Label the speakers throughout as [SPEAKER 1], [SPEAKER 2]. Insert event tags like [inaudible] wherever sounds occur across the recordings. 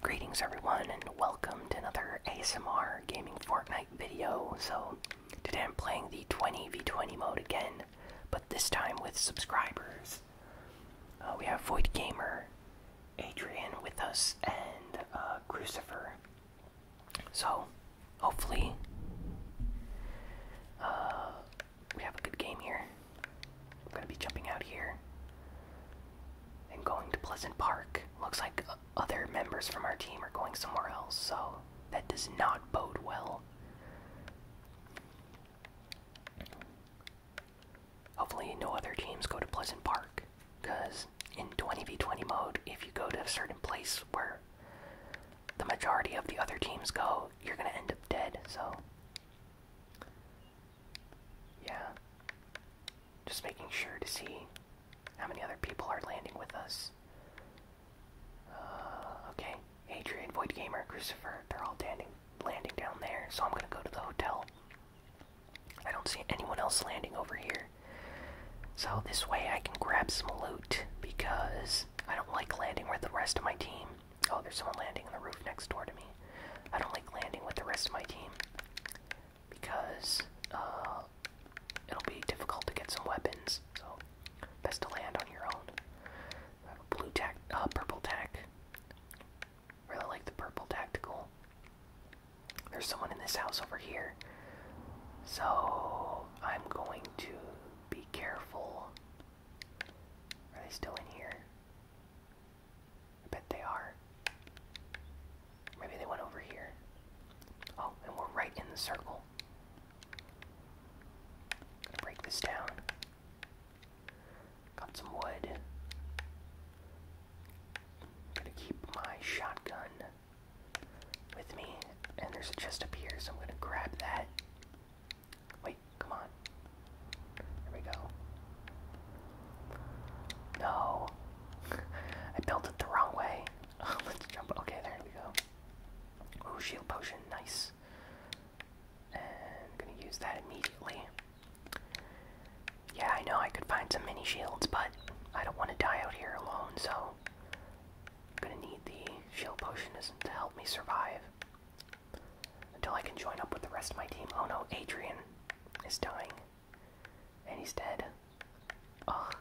[SPEAKER 1] Greetings everyone and welcome to another ASMR Gaming Fortnite video. So today I'm playing the 20v20 mode again, but this time with subscribers. Uh, we have Void Gamer, Adrian with us, and uh, Crucifer. So hopefully uh, we have a good game here. I'm gonna be jumping out here and going to Pleasant Park. Looks like other members from our team are going somewhere else, so that does not bode well. Hopefully, no other teams go to Pleasant Park, because in 20v20 mode, if you go to a certain place where the majority of the other teams go, you're gonna end up dead, so. Yeah. Just making sure to see how many other people are landing with us. Uh, okay. Adrian, Void Gamer, Christopher, they're all landing, landing down there, so I'm gonna go to the hotel. I don't see anyone else landing over here. So this way I can grab some loot because I don't like landing with the rest of my team. Oh, there's someone landing on the roof next door to me. I don't like landing with the rest of my team because uh, it'll be difficult to get some weapons. So best to land on your own. blue tac, uh, purple tac. Really like the purple tactical. There's someone in this house over here, so I'm going to be careful. Are they still in here? I bet they are. Maybe they went over here. Oh, and we're right in the circle. Gonna break this down. Got some wood. Gonna keep my shotgun with me. And there's a chest up I'm gonna grab that. Wait, come on. There we go. No. [laughs] I built it the wrong way. Oh, [laughs] let's jump. Okay, there we go. Ooh, shield potion. Nice. And I'm gonna use that immediately. Yeah, I know I could find some mini shields, but I don't want to die out here alone, so I'm gonna need the shield potion to help me survive. Until I can join up with the rest of my team. Oh no, Adrian is dying. And he's dead. Ugh.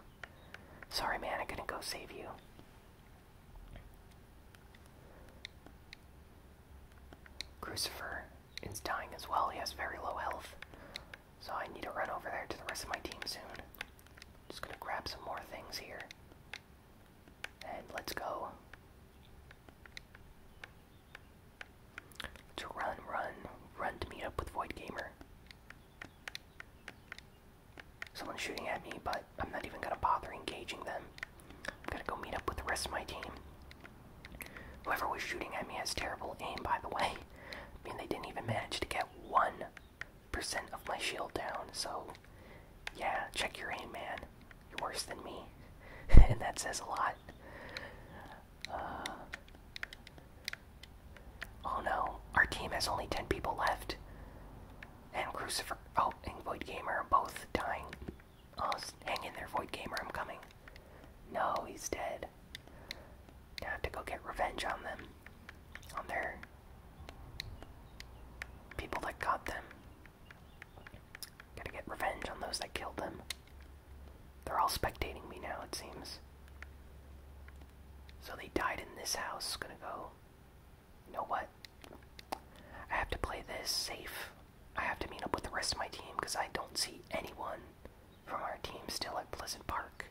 [SPEAKER 1] Sorry, man, I couldn't go save you. Crucifer is dying as well. He has very low health. So I need to run over there to the rest of my team soon. Just gonna grab some more things here. And let's go. To run, run, run to meet up with Void Gamer. Someone's shooting at me, but I'm not even gonna bother engaging them. I'm gonna go meet up with the rest of my team. Whoever was shooting at me has terrible aim, by the way. I mean, they didn't even manage to get 1% of my shield down, so yeah, check your aim, man. You're worse than me. [laughs] and that says a lot. Uh, oh no, our team has only 10 people left. And Crucifer. Oh, and Void Gamer are both dying. Oh, hang in there, Void Gamer, I'm coming. No, he's dead. I have to go get revenge on them. On their people that got them. Gotta get revenge on those that killed them. They're all spectating me now, it seems. So they died in this house. Gonna go. You know what? I have to play this safe. I have to meet up with the rest of my team because I don't see anyone from our team still at Pleasant Park,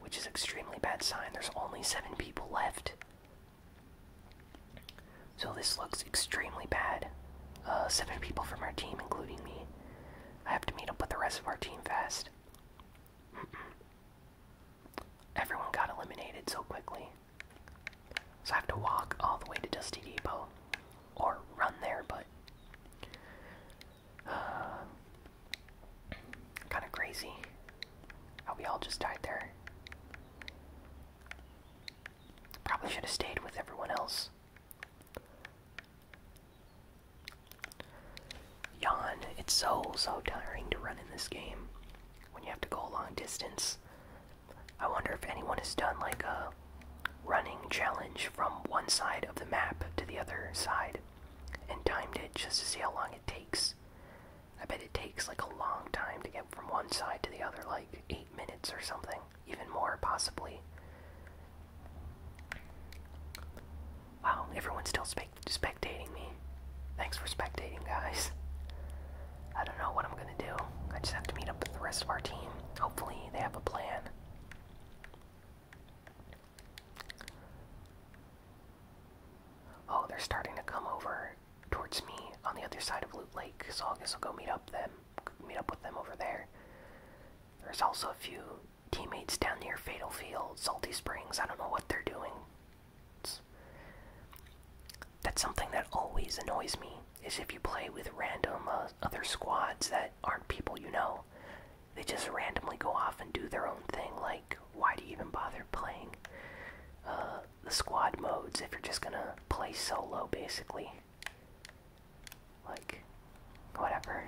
[SPEAKER 1] which is extremely bad sign. There's only seven people left. So this looks extremely bad. Uh, seven people from our team, including me. I have to meet up with the rest of our team fast. [clears throat] Everyone got eliminated so quickly. So I have to walk all the way to Dusty Depot. Or run there, but. Uh, kind of crazy how we all just died there. Probably should have stayed with everyone else. Yawn. It's so, so tiring to run in this game when you have to go a long distance. I wonder if anyone has done like a running challenge from one side of the map to the other side and timed it just to see how long it takes. I bet it takes like a long time to get from one side to the other, like eight minutes or something even more possibly. Wow, everyone's still spect spectating me. Thanks for spectating, guys. I don't know what I'm gonna do. I just have to meet up with the rest of our team. Hopefully, they have a plan. Oh, they're starting to come over towards me on the other side of Loot Lake, so I guess I'll go meet up them meet up with them over there. There's also a few teammates down near Fatal Field, Salty Springs. I don't know what they're doing. that's something that always annoys me is if you play with random uh, other squads that aren't people you know. They just randomly go off and do their own thing. Like, why do you even bother playing uh, the squad modes if you're just gonna play solo, basically? Like, whatever.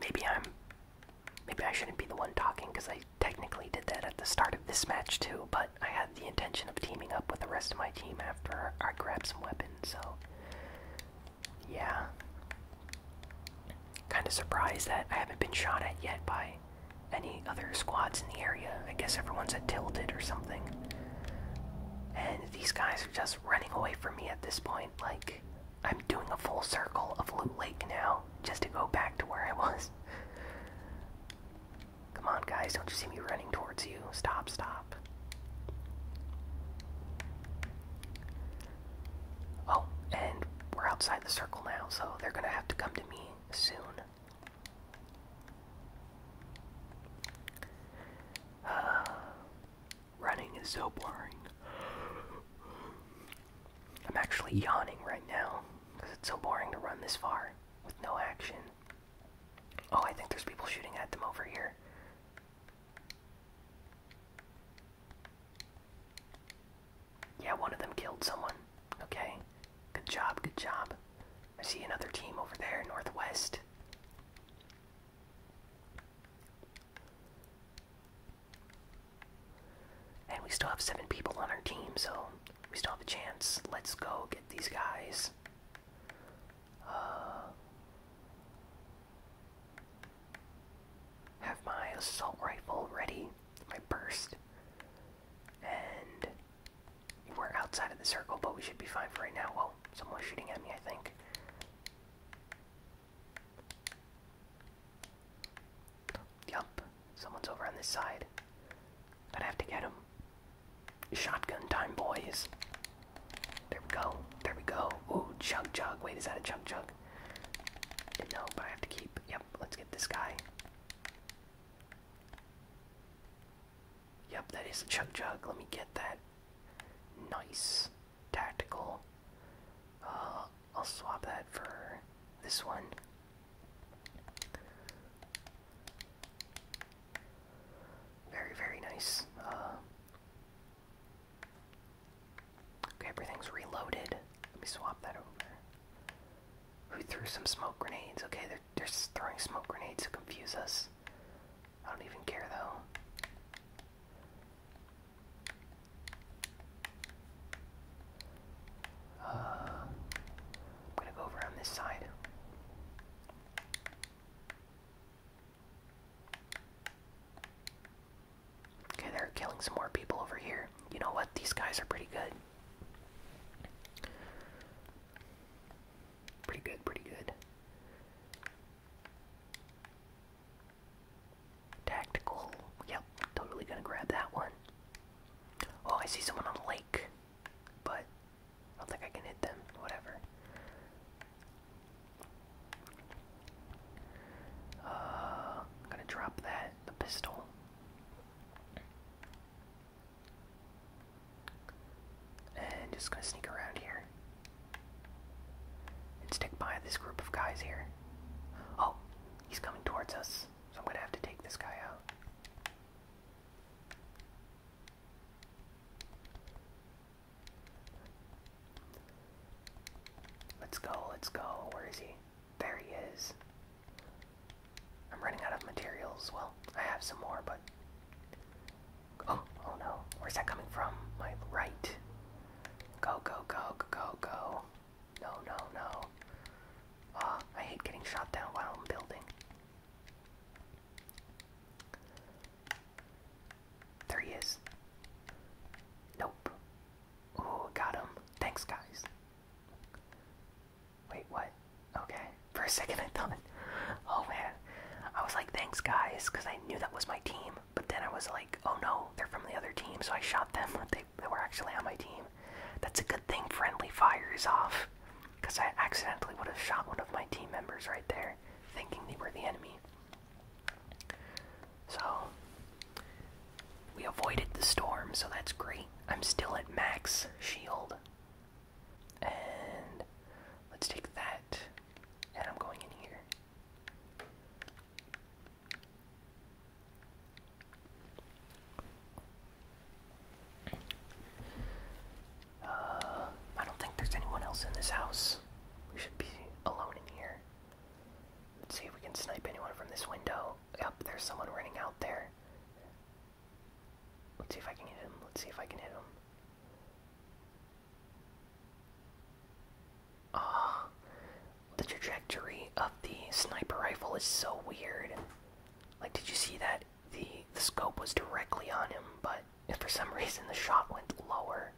[SPEAKER 1] Maybe I'm. Maybe I shouldn't be the one talking because I technically did that at the start of this match too, but I had the intention of teaming up with the rest of my team after I grabbed some weapons, so. Yeah. Kind of surprised that I haven't been shot at yet by any other squads in the area. I guess everyone's at Tilted or something. And these guys are just running away from me at this point. Like, I'm doing a full circle of Loot Lake now just to go back to where I was. [laughs] Come on, guys, don't you see me running towards you? Stop, stop. Oh, and we're outside the circle now, so they're gonna have to come to me soon. [sighs] running is so boring. I'm actually yawning right now because it's so boring to run this far with no action. Oh, I think there's people shooting at them over here. Yeah, one of them killed someone. Okay. Good job, good job. I see another team over there, Northwest. And we still have seven people on our team, so we still have a chance. Let's go get these guys. Uh, have my assault rifle ready, my burst, and we're outside of the circle, but we should be fine for right now. Well, someone's shooting at me, I think. Yup, someone's over on this side. I'd have to get him. Shotgun time, boys. There we go. There we go. Ooh, chug chug. Wait, is that a chug chug? No, but I have to keep. Yep, let's get this guy. Yep, that is a chug jug. Let me get that. Nice. Tactical. Uh, I'll swap that for this one. Very, very nice. Uh, okay, everything's reloaded. Let me swap that over. Who threw some smoke grenades? Okay, they're they're, just throwing smoke grenades to confuse us. I don't even care though. Uh, I'm gonna go over on this side. Okay, they're killing some more people over here. You know what? These guys are pretty good. Pretty good, pretty good. Tactical. Yep, totally gonna grab that one. Oh, I see someone on the lake, but I don't think I can hit them. Whatever. Uh, am gonna drop that, the pistol. And just gonna sneak around here. And stick by this group of guys here. Oh, he's coming towards us, so I'm gonna have to take this guy out. Let's go, let's go. Where is he? There he is. I'm running out of materials. Well, I have some more, but. Oh, oh no. Where's that coming from? My right. Go, go, go, go, go. No, no, no. Ah, I hate getting shot down while I'm building. There he is. Nope. Ooh, got him. Thanks, guys. Wait, what? Okay. For a second, I thought, oh man. I was like, thanks guys, because I knew that was my team. But then I was like, oh no, they're from the other team, so I shot them. [laughs] They, they were actually on my team. That's a good thing friendly fire is off, because I accidentally would have shot one of my team members right there, thinking they were the enemy. So, we avoided the storm, so that's great. I'm still at max shield. And let's take that, and I'm going in here. Uh, I don't think there's anyone else in this house. We should be alone in here. Let's see if we can snipe anyone from this window. Yep, there's someone running out there. Let's see if I can hit him. Let's see if I can hit him. Ah, the trajectory of the sniper rifle is so weird. Like, did you see that? The, the scope was directly on him, but for some [laughs] reason the shot went lower.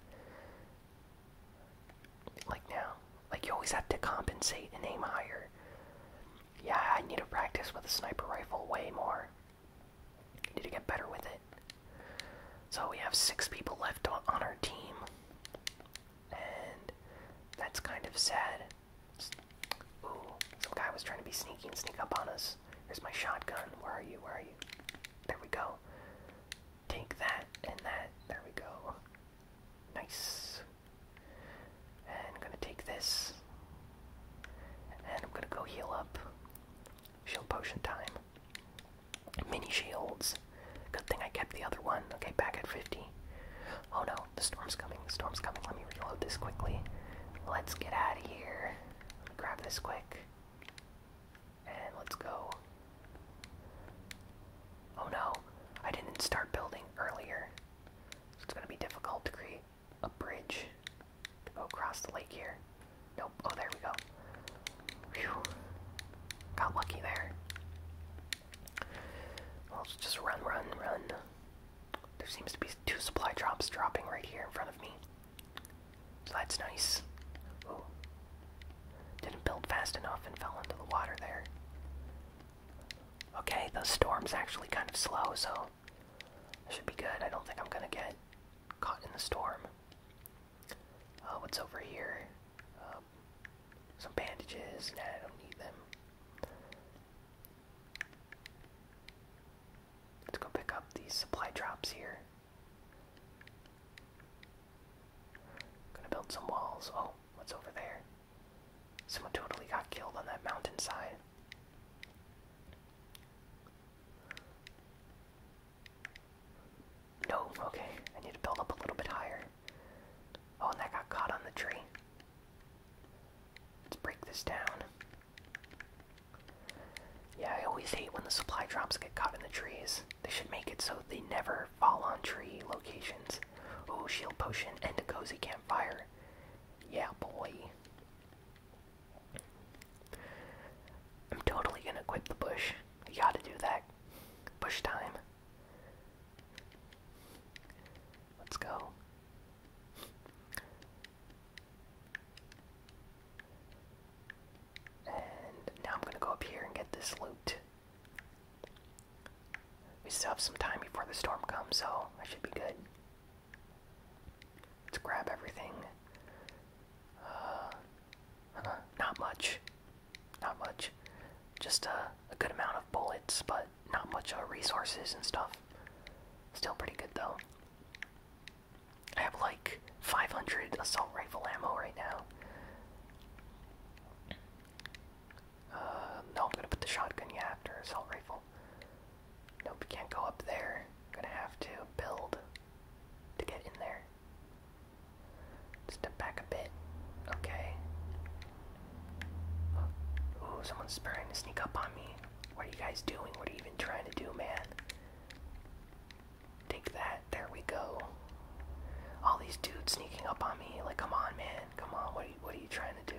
[SPEAKER 1] Like now. Like, you always have to compensate and aim higher. Yeah, I need to practice with a sniper rifle way more. I need to get better with it. So we have six people left on our team, and that's kind of sad. Ooh, some guy was trying to be sneaky and sneak up on us. Here's my shotgun. Where are you? Where are you? There we go. Take that and that. There we go. Nice. And I'm gonna take this. And I'm gonna go heal up. Shield potion time. Mini shields. Good thing I kept the other one. Okay, back at 50. Oh no, the storm's coming. The storm's coming. Let me reload this quickly. Let's get out of here. Grab this quick. And let's go. Oh no, I didn't start building earlier it's gonna be difficult to create a bridge to go across the lake here. Nope. Oh, there we go. Got lucky there. Well, just run, run, run. There seems to be two supply drops dropping right here in front of me. So that's nice. Didn't build fast enough and fell into the water there. Okay, the storm's actually kind of slow, so I should be good. I don't think I'm gonna get caught in the storm. Oh, what's over here? Um, some bandages. I don't need them. Let's go pick up these supply drops here. Gonna build some walls. Oh, what's over there? Someone totally got killed on that mountainside. No, okay. I need to build up a little bit higher. Oh, and that got caught on the tree. Let's break this down. Yeah, I always hate when the supply drops get caught in the trees. They should make it so they never fall on tree locations. Oh, shield potion and a cozy campfire. Yeah, boy. I'm totally gonna quit the bush. You gotta do that. Bush time. Let's go. And now I'm gonna go up here and get this loot. We still have some time before the storm comes, so I should be good. Let's grab everything. Uh, not much. Not much. Just a good amount of bullets, but not much uh, resources and stuff. Still pretty good though. I have like 500 assault rifle ammo right now. Uh, no, I'm gonna put the shotgun yeah after assault rifle. Nope, you can't go up there. Gonna have to build to get in there. Step back a bit. Okay. Ooh, someone's trying to sneak up on me. What are you guys doing? What are you even trying to do, man? Take that. There we go. All these dudes sneaking up on me. Like, come on, man. Come on. What are you, what are you trying to do?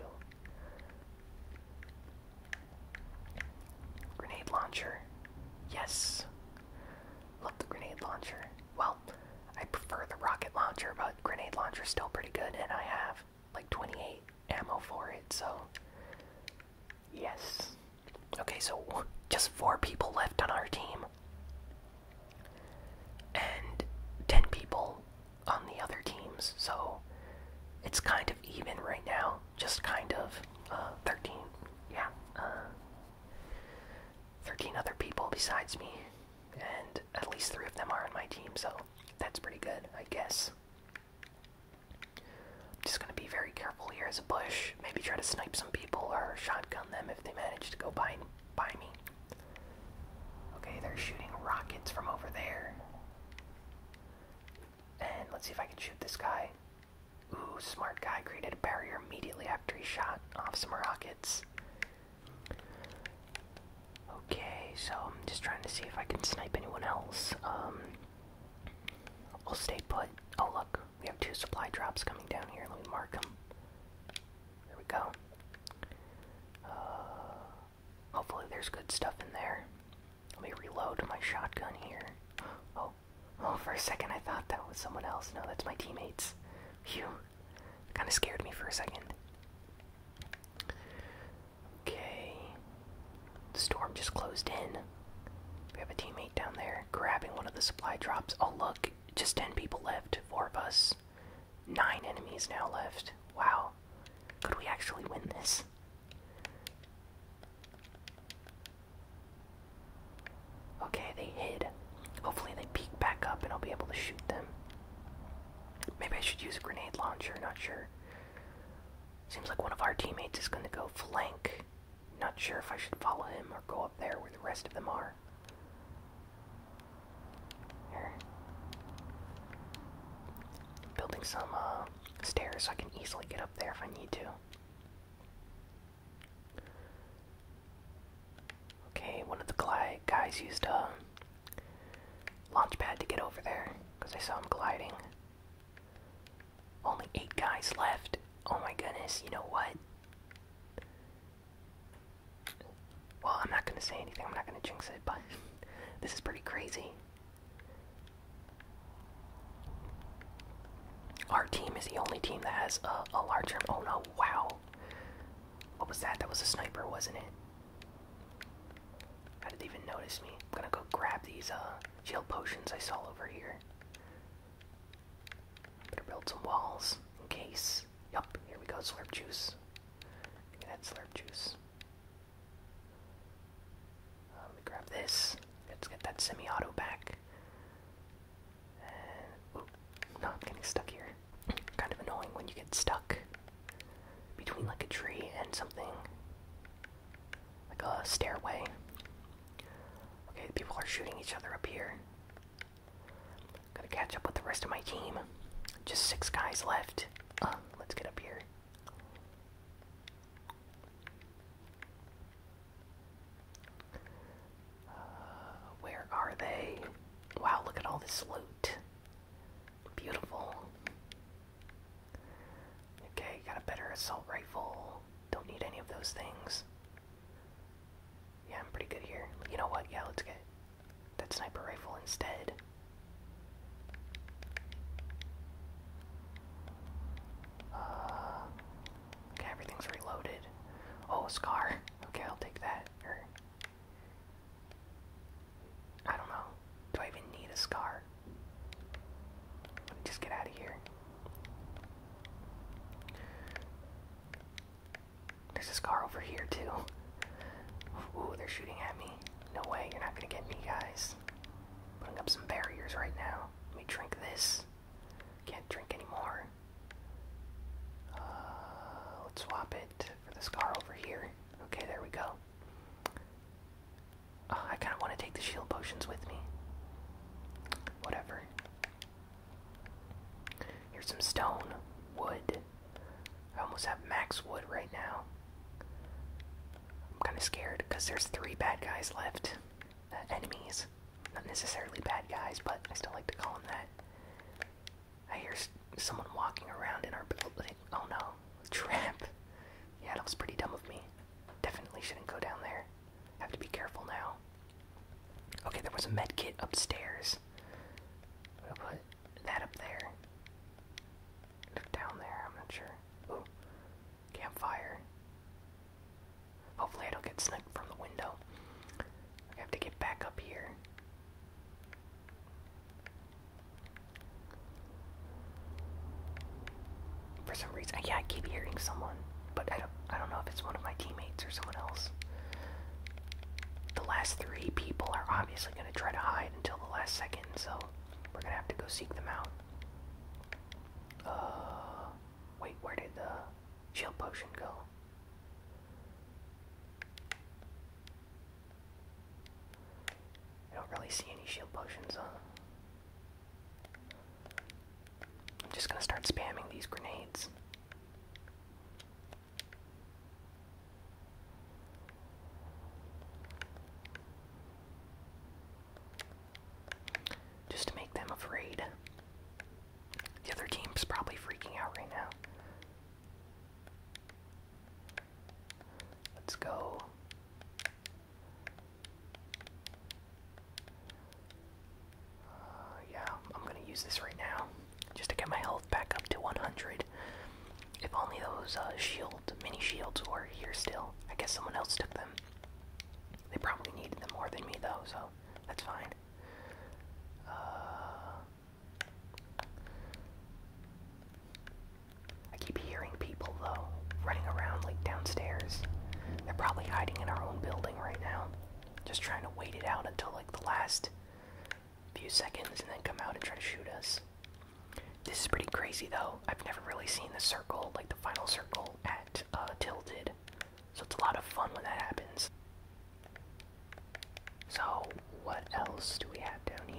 [SPEAKER 1] Grenade launcher. Yes. Love the grenade launcher. Well, I prefer the rocket launcher, but grenade launcher is still pretty good, and I have like 28 ammo for it, so. Yes. Okay, so just four people left on our team. And 10 people on the other teams, so it's kind of even right now. Just kind of uh, 13, yeah, uh, 13 other people besides me, and at least three of them are on my team, so that's pretty good, I guess. just gonna be very careful here as a bush. Maybe try to snipe some people or shotgun them if they manage to go by by me. Okay, they're shooting rockets from over there. And let's see if I can shoot this guy. Ooh, smart guy created a barrier immediately after he shot off some rockets. Okay, so I'm just trying to see if I can snipe anyone else. Um, we'll stay put. Oh look, we have two supply drops coming down here. Let me mark them. There we go. Uh, Hopefully there's good stuff in there. Let me reload my shotgun here. Oh, oh, for a second I thought that was someone else. No, that's my teammates. Phew. Kind of scared me for a second. Okay. storm just closed in. We have a teammate down there grabbing one of the supply drops. Oh, look. Just 10 people left. Four of us. Nine enemies now left. Wow. Could we actually win this? Okay, they hid. Hopefully they peek back up and I'll be able to shoot them. Maybe I should use a grenade launcher, not sure. Seems like one of our teammates is gonna go flank. Not sure if I should follow him or go up there where the rest of them are. Here. Building some uh, stairs so I can easily get up there if I need to. Okay, one of the guys used a launch pad to get over there because I saw him gliding. Only eight guys left. Oh my goodness, you know what? Well, I'm not gonna say anything, I'm not gonna jinx it, but [laughs] this is pretty crazy. Our team is the only team that has a, larger. Oh no, wow. What was that? That was a sniper, wasn't it? How did they even notice me? I'm gonna go grab these uh, gel potions I saw over here. Better build some walls in case juice. Yup, here we go, slurp juice. Get that slurp juice. Uh, let me grab this. Let's get that semi-auto back. And, no, I'm getting stuck here. kind of annoying when you get stuck between like a tree and something, like a stairway. Okay, people are shooting each other up here going to catch up with the rest of my team. Just six guys left. Uh, let's get up here. Uh, where are they? Wow, look at all this loot. Beautiful. Okay, got a better assault rifle. Don't need any of those things. Yeah, I'm pretty good here. You know what? Yeah, let's get that sniper rifle instead. Uh, okay, everything's reloaded. Oh, scar. Okay, I'll take that. I don't know. Do I even need a scar? Just get out of here. There's this car over here, too. Ooh, they're shooting at me. No way, you're not gonna get me, guys. Putting up some barriers right now. Let me drink this. Can't drink anymore. Uh, let's swap it for this car over here. Okay, there we go. Uh, I kind of want to take the shield potions with me. Whatever. Here's some stone, wood, I almost have max wood right now. I'm kind of scared because there's three bad guys left. Uh, enemies. Not necessarily bad guys, but I still like to call them that. I hear someone walking around in our building. Oh no, a trap. Yeah, that was pretty dumb of me. Definitely shouldn't go down there. I have to be careful now. Okay, there was a med kit upstairs. What? that up there. Look down there, I'm not sure. campfire. Hopefully I don't get sniped from the window. I have to get back up here. For some reason, yeah, I keep hearing someone, but I don't, I don't know if it's one of my teammates or someone else the last three people are obviously going to try to hide until the last second, so we're going to have to go seek them out. Uh, wait, where did the shield potion go? I don't really see any shield potions, huh? I'm just gonna start spamming these grenades. Just to make them afraid. The other team's probably freaking out right now. Let's go. Uh, yeah, I'm gonna use this right now just to get my health back up to 100. If only those uh, shield, mini shields were here still. I guess someone else took them. They probably needed them more than me though, so that's fine. Uh, I keep hearing people though running around like downstairs. They're probably hiding in our own building right now. Just trying to wait it out until like the last few seconds and then come out and try to shoot us. This is pretty crazy though. I've never really seen the circle, like the final circle at uh, Tilted. So it's a lot of fun when that happens. So, what else do we have down here?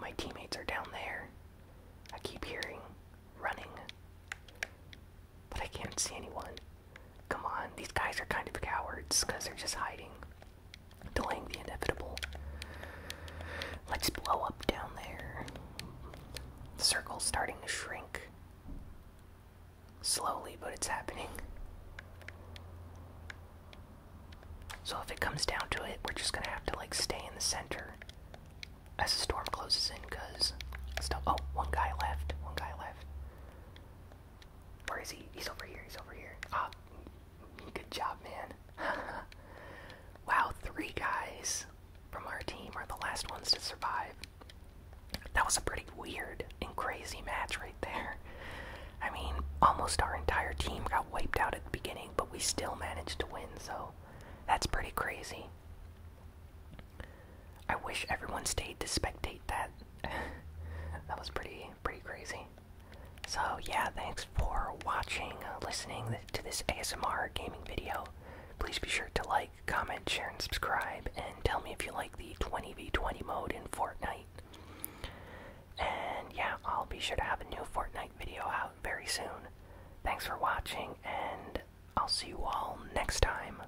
[SPEAKER 1] my teammates are down there. I keep hearing running, but I can't see anyone. Come on, these guys are kind of cowards because they're just hiding, delaying the inevitable. Let's blow up down there. Circle's starting to shrink. Slowly, but it's happening. So if it comes down to it, we're just gonna have to like stay in the center as the storm closes in, cause still, Oh, one guy left. One guy left. Where is he? He's over here. He's over here. Ah, good job, man. [laughs] wow, three guys from our team are the last ones to survive. That was a pretty weird and crazy match right there. I mean, almost our entire team got wiped out at the beginning, but we still managed to win, so that's pretty crazy. I wish everyone stayed to spectate that. [sighs] that was pretty pretty crazy. So yeah, thanks for watching, uh, listening to this ASMR gaming video. Please be sure to like, comment, share, and subscribe, and tell me if you like the 20v20 mode in Fortnite. And yeah, I'll be sure to have a new Fortnite video out very soon. Thanks for watching, and I'll see you all next time.